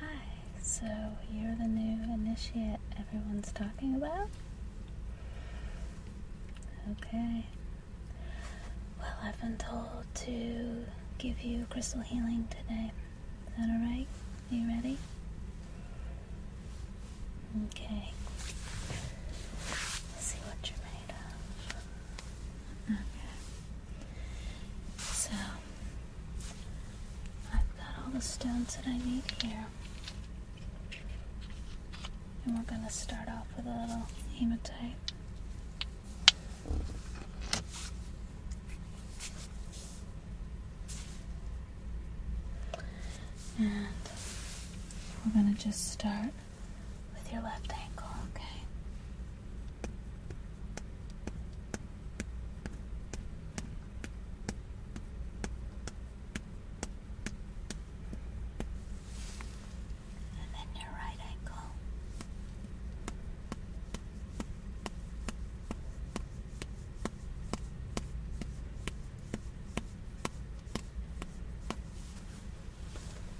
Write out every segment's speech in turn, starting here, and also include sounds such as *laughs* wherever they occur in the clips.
Hi, so you're the new initiate everyone's talking about? Okay. Well, I've been told to give you crystal healing today. Is that alright? Are you ready? Okay. Let's see what you're made of. Okay. So I've got all the stones that I need here. And we're going to start off with a little hematite. And we're going to just start with your left ankle, okay? And then your right ankle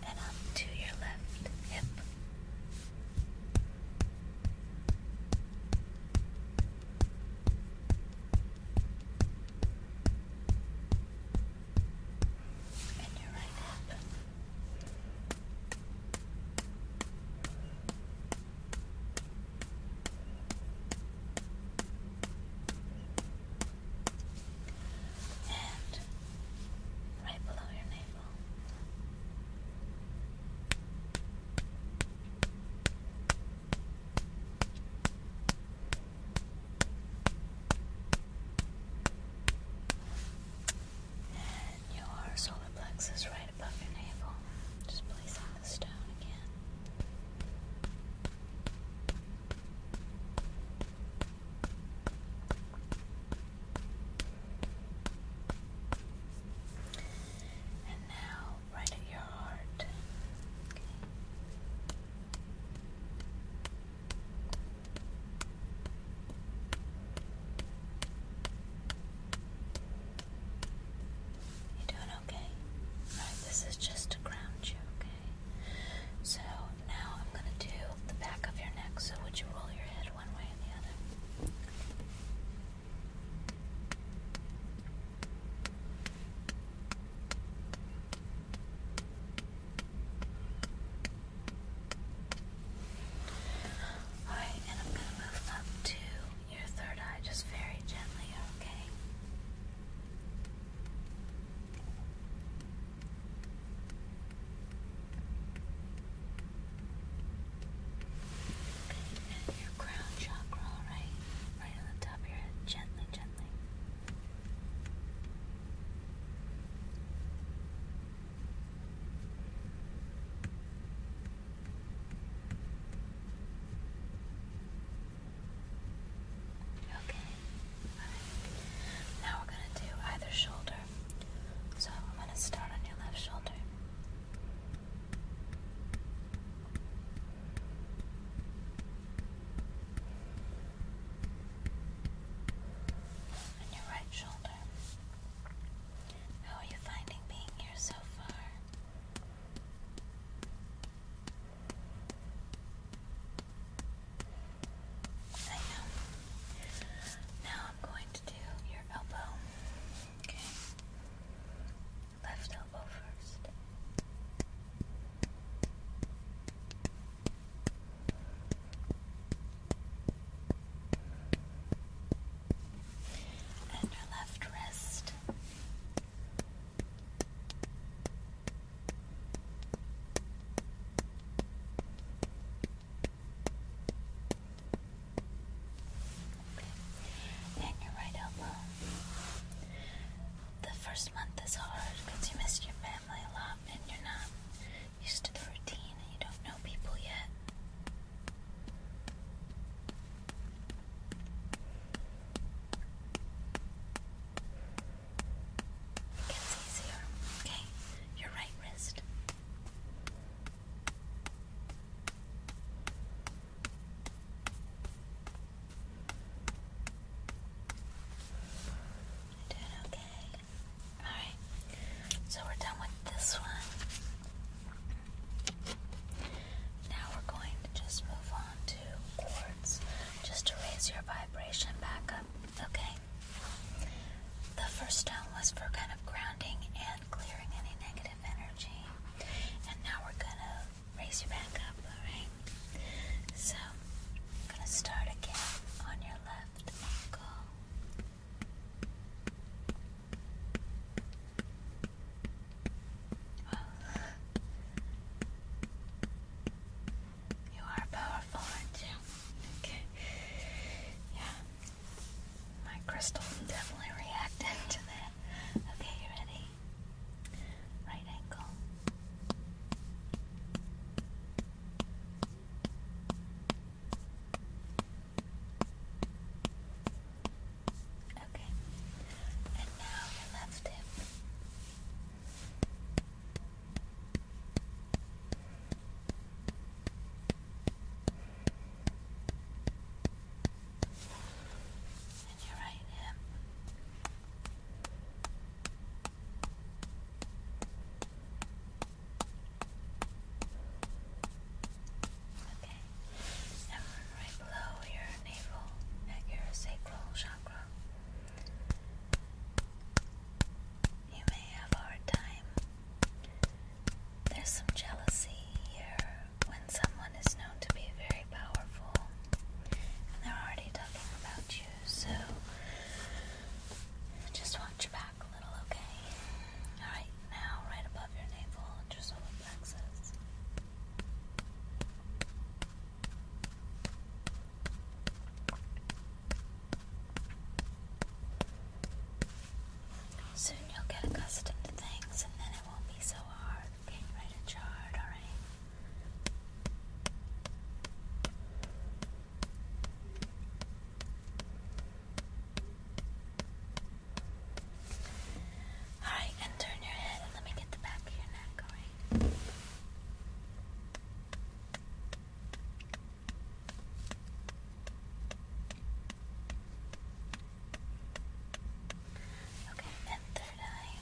and up to your left hip. And your right hip. And right below your navel. And your solar plexus right above your navel. Just placing the stone again. And now, right at your heart. Okay. You doing okay? Alright, this is just to ground you, okay? So now I'm going to do the back of your neck. So would you roll your head one way and the other? Alright, and I'm going to move up to your third eye just very gently, okay? and your crown chakra, all right? Right on the top of your head, gently, gently. Okay, now we're gonna do either shoulder. So I'm gonna start on your left shoulder. And your right shoulder. How are you finding being here so far? I know. Now I'm going to do your elbow. Okay. Left elbow first. And your left wrist. Then your right elbow. The first month is hard because you miss your family a lot and you're not used to the routine you don't know people yet. It gets easier. Okay, your right wrist. You're doing okay. Alright, so we're done with this one. Now we're going to just move on to chords, just to raise your vibration back up. Okay. The first stone was for kind of grounding and clearing any negative energy. And now we're gonna raise you back up, alright? So I'm gonna start again on your left ankle. You are powerful, aren't you? Okay. Yeah. My crystal definitely reacted to that. Okay, you ready? Right ankle. Okay. And now your left hip. And your right hip. Okay. And right below your navel at your sacral chakra. You may have a hard time. There's some jealousy here when someone is known to be very powerful and they're already talking about you, so just watch back a little, okay? Alright, now right above your navel and your Soon you'll get accustomed to things and then it won't be so hard. Can you write alright? Alright, and turn your head and let me get the back of your neck, alright? Okay, and third eye.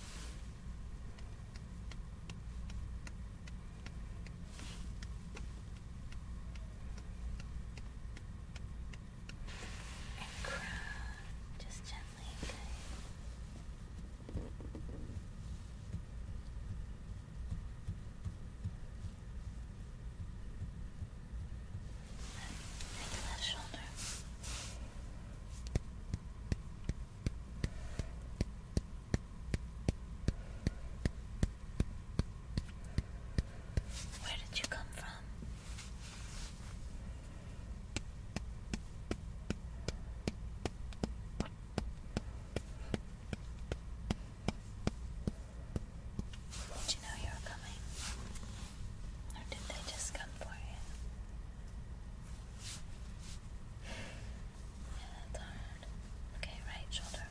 And crown, just gently good. Right, shoulder. Where did you come from? Did you know you were coming? Or did they just come for you? Yeah, that's hard. Okay, right shoulder.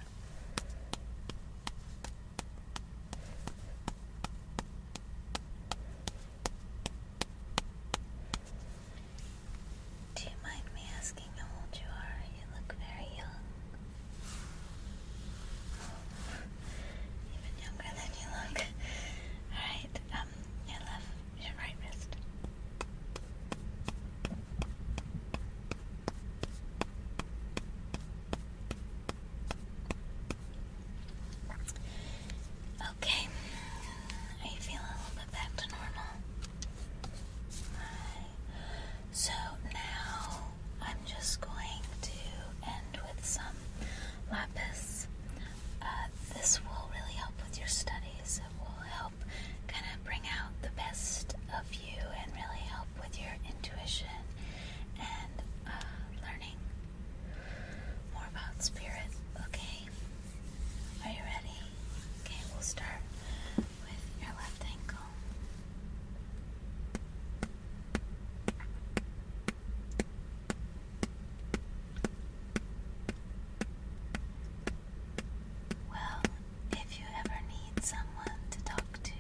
Do you mind me asking how old you are? You look very young. *laughs* even younger than you look. Alright, um, your left, your right wrist. Okay, I feel a little bit back to normal. So now I'm just going to end with some lapis. Uh, this will really help with your studies. It will help kind of bring out the best of you and really help with your intuition and uh, learning more about spirit. Okay. Are you ready? Okay, we'll start with your left ankle. Well, if you ever need someone to talk to,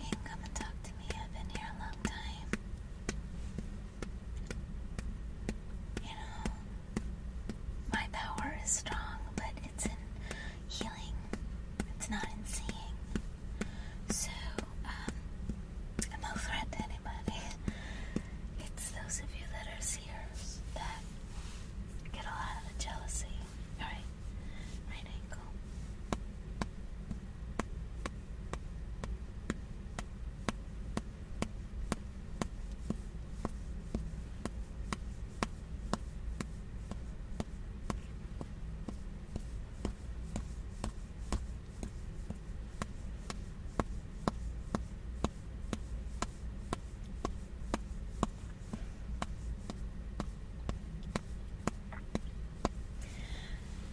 you can come and talk to me. I've been here a long time. You know, my power is strong, but it's in healing, it's not in seeing. So, um, I'm no threat to anybody. *laughs* It's those of you that are seers that get a lot of the jealousy. Alright, right ankle.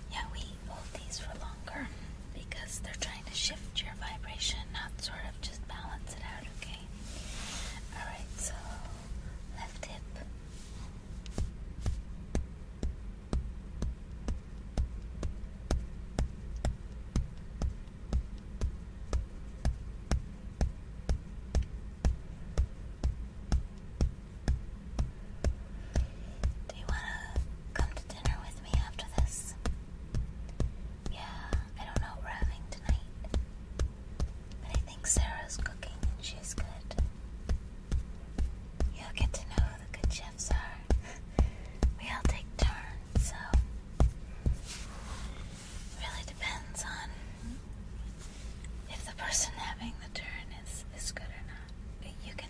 Yeah, we keep these for longer because they're trying to shift your vibration, not sort of just balance it out, okay? Alright, so left hip. Do you wanna come to dinner with me after this? Yeah, I don't know what we're having tonight. But I think Sarah's cooking and she's good. You'll get to know who the good chefs are. *laughs* we all take turns, so really depends on if the person having the turn is, is good or not. You can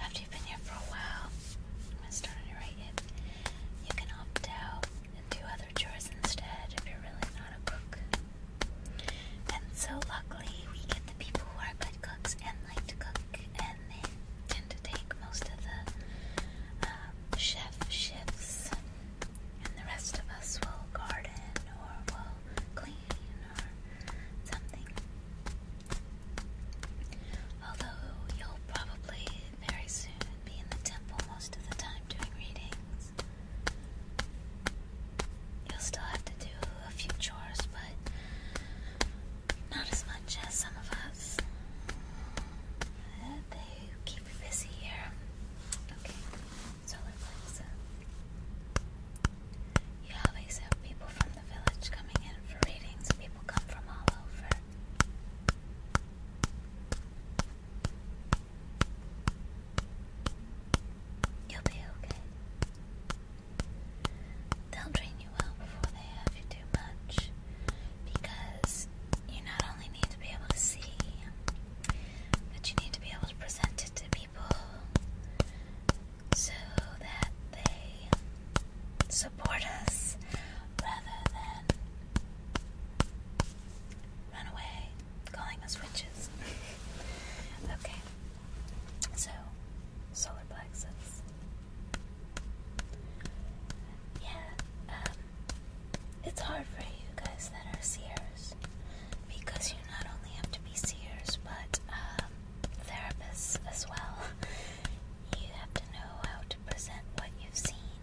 after you've been here for a while, I'm going to start underwriting it. You can opt out and do other chores instead if you're really not a cook. And so, luckily, we get the people who are good cooks and like to cook, and they tend to take most of the um, chef shifts. And the rest of us will garden or will clean Although you'll probably very soon be in the temple most of the time doing readings. You'll still have to do a few chores, but not as much as some of us. Uh, they keep you busy here. Okay, solar plexus. You always have people from the village coming in for readings. People come from all over. You'll be okay. They'll train you well before they have you do much because you not only need to be able to see, but you need to be able to present it to people so that they support us rather than run away calling us witches. *laughs* okay, so solar Yeah, um, it's hard for you guys that are seers because you not only have to be seers but uh, therapists as well. You have to know how to present what you've seen.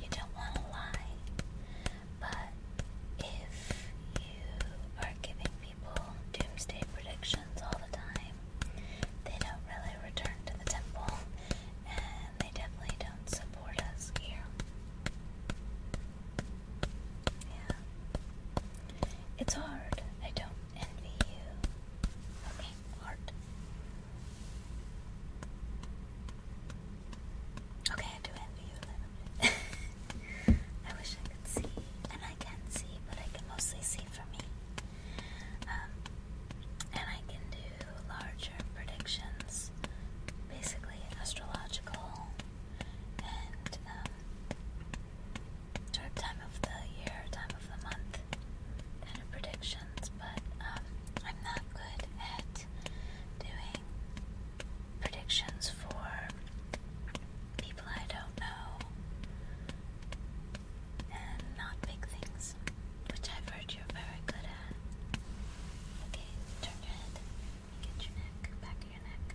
You don't want to lie. But if you are giving people doomsday predictions all the time, they don't really return to the temple, and they definitely don't support us here. Yeah. It's hard. I don't envy you. Okay, hard. Okay, I do envy you *laughs* I wish I could see, and I can see, but I can mostly see for me. Um, and I can do larger predictions, basically astrological and um, time of the year, time of the month kind of predictions, but um, I'm not good at doing predictions for people I don't know and not big things, which I've heard you're very good at. Okay, turn your head. Get your neck, back of your neck.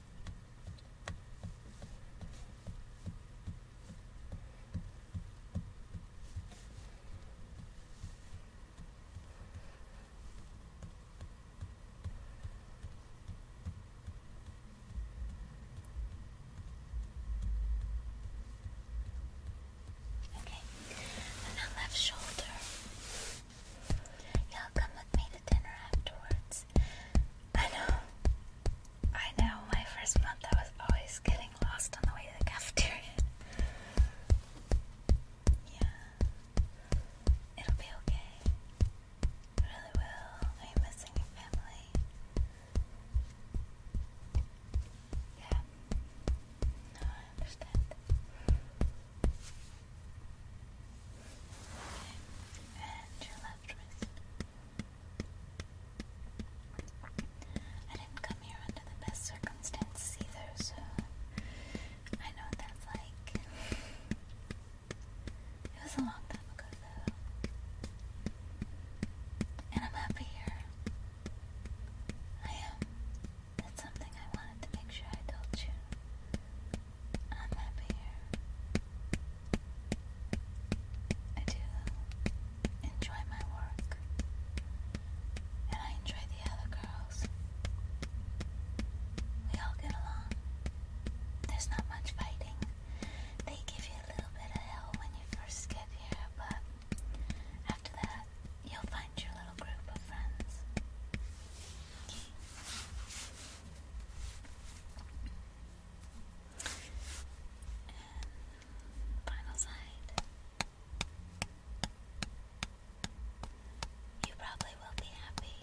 Okay, and the left shoulder. Y'all come with me to dinner afterwards. I know. I know. My first month, I was always getting lost on the way to the cafeteria. Yeah. It'll be okay. It really will. I'm missing your family. Yeah. No, I understand and your left wrist. I didn't come here under the best circumstances either, so I know what that's like. It was a long time ago, though. And I'm happy here. I am. That's something I wanted to make sure I told you. I'm happy here. I do enjoy my work, and I enjoy the other girls. We all get along. There's not much fighting. They give you a little bit of hell when you first get here, but after that, you'll find your little group of friends final side. You probably will be happy.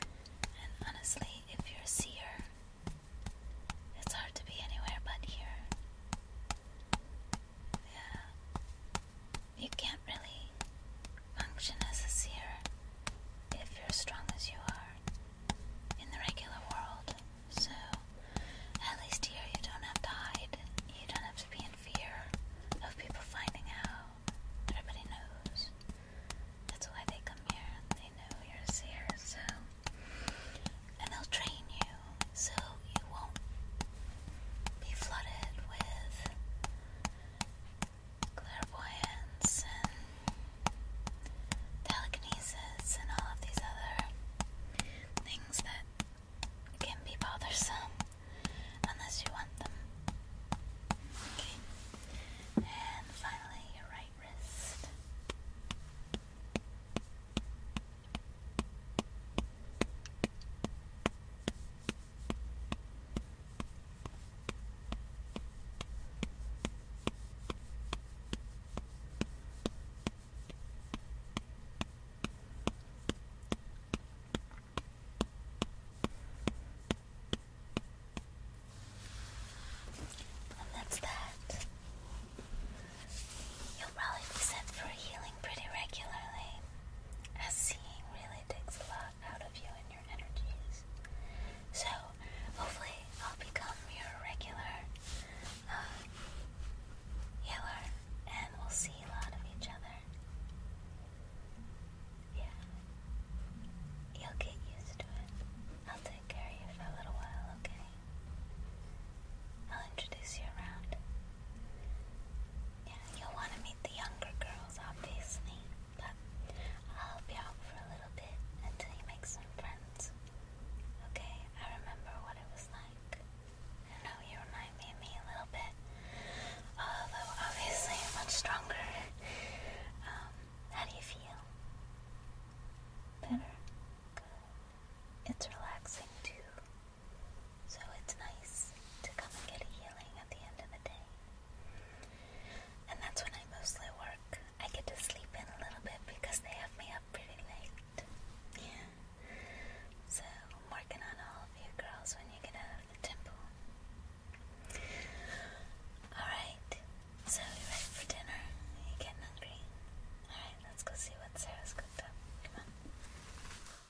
And honestly, if you're a seer, it's hard to be anywhere but here. Yeah. You can't really function as a seer if you're as strong as you are in the regular world. So, at least here you don't have to hide. You don't have to be in fear of people finding out. Everybody knows. That's why they come here. They know you're a seer, so. And they'll train you so you won't be flooded with clairvoyance and telekinesis and all of these other things that can be bothersome unless you want them. Okay. And finally, your right wrist. And that's that. You'll probably be sent for a healing pretty regularly, as seeing really takes a lot out of you and your energies. So, hopefully, I'll become your regular uh, and we'll see a lot of each other. Yeah. You'll get used to it. I'll take care of you for a little while, okay? I'll introduce you around. Yeah, you'll want to meet the younger girls, obviously, but I'll help you out for a little bit until you make some friends. Okay, I remember what it was like. I know you remind me of me a little bit, although obviously much stronger. Um, how do you feel? Better? Good. It's relaxing too. So it's nice to come and get a healing at the end of the day. And that's when I mostly work. I get to sleep in a little bit because they have me up pretty late. So I'm working on all of you girls when you get out of the temple. Alright. So you ready for dinner? Are getting hungry? Alright, let's go see what Sarah's cooked up. Come on.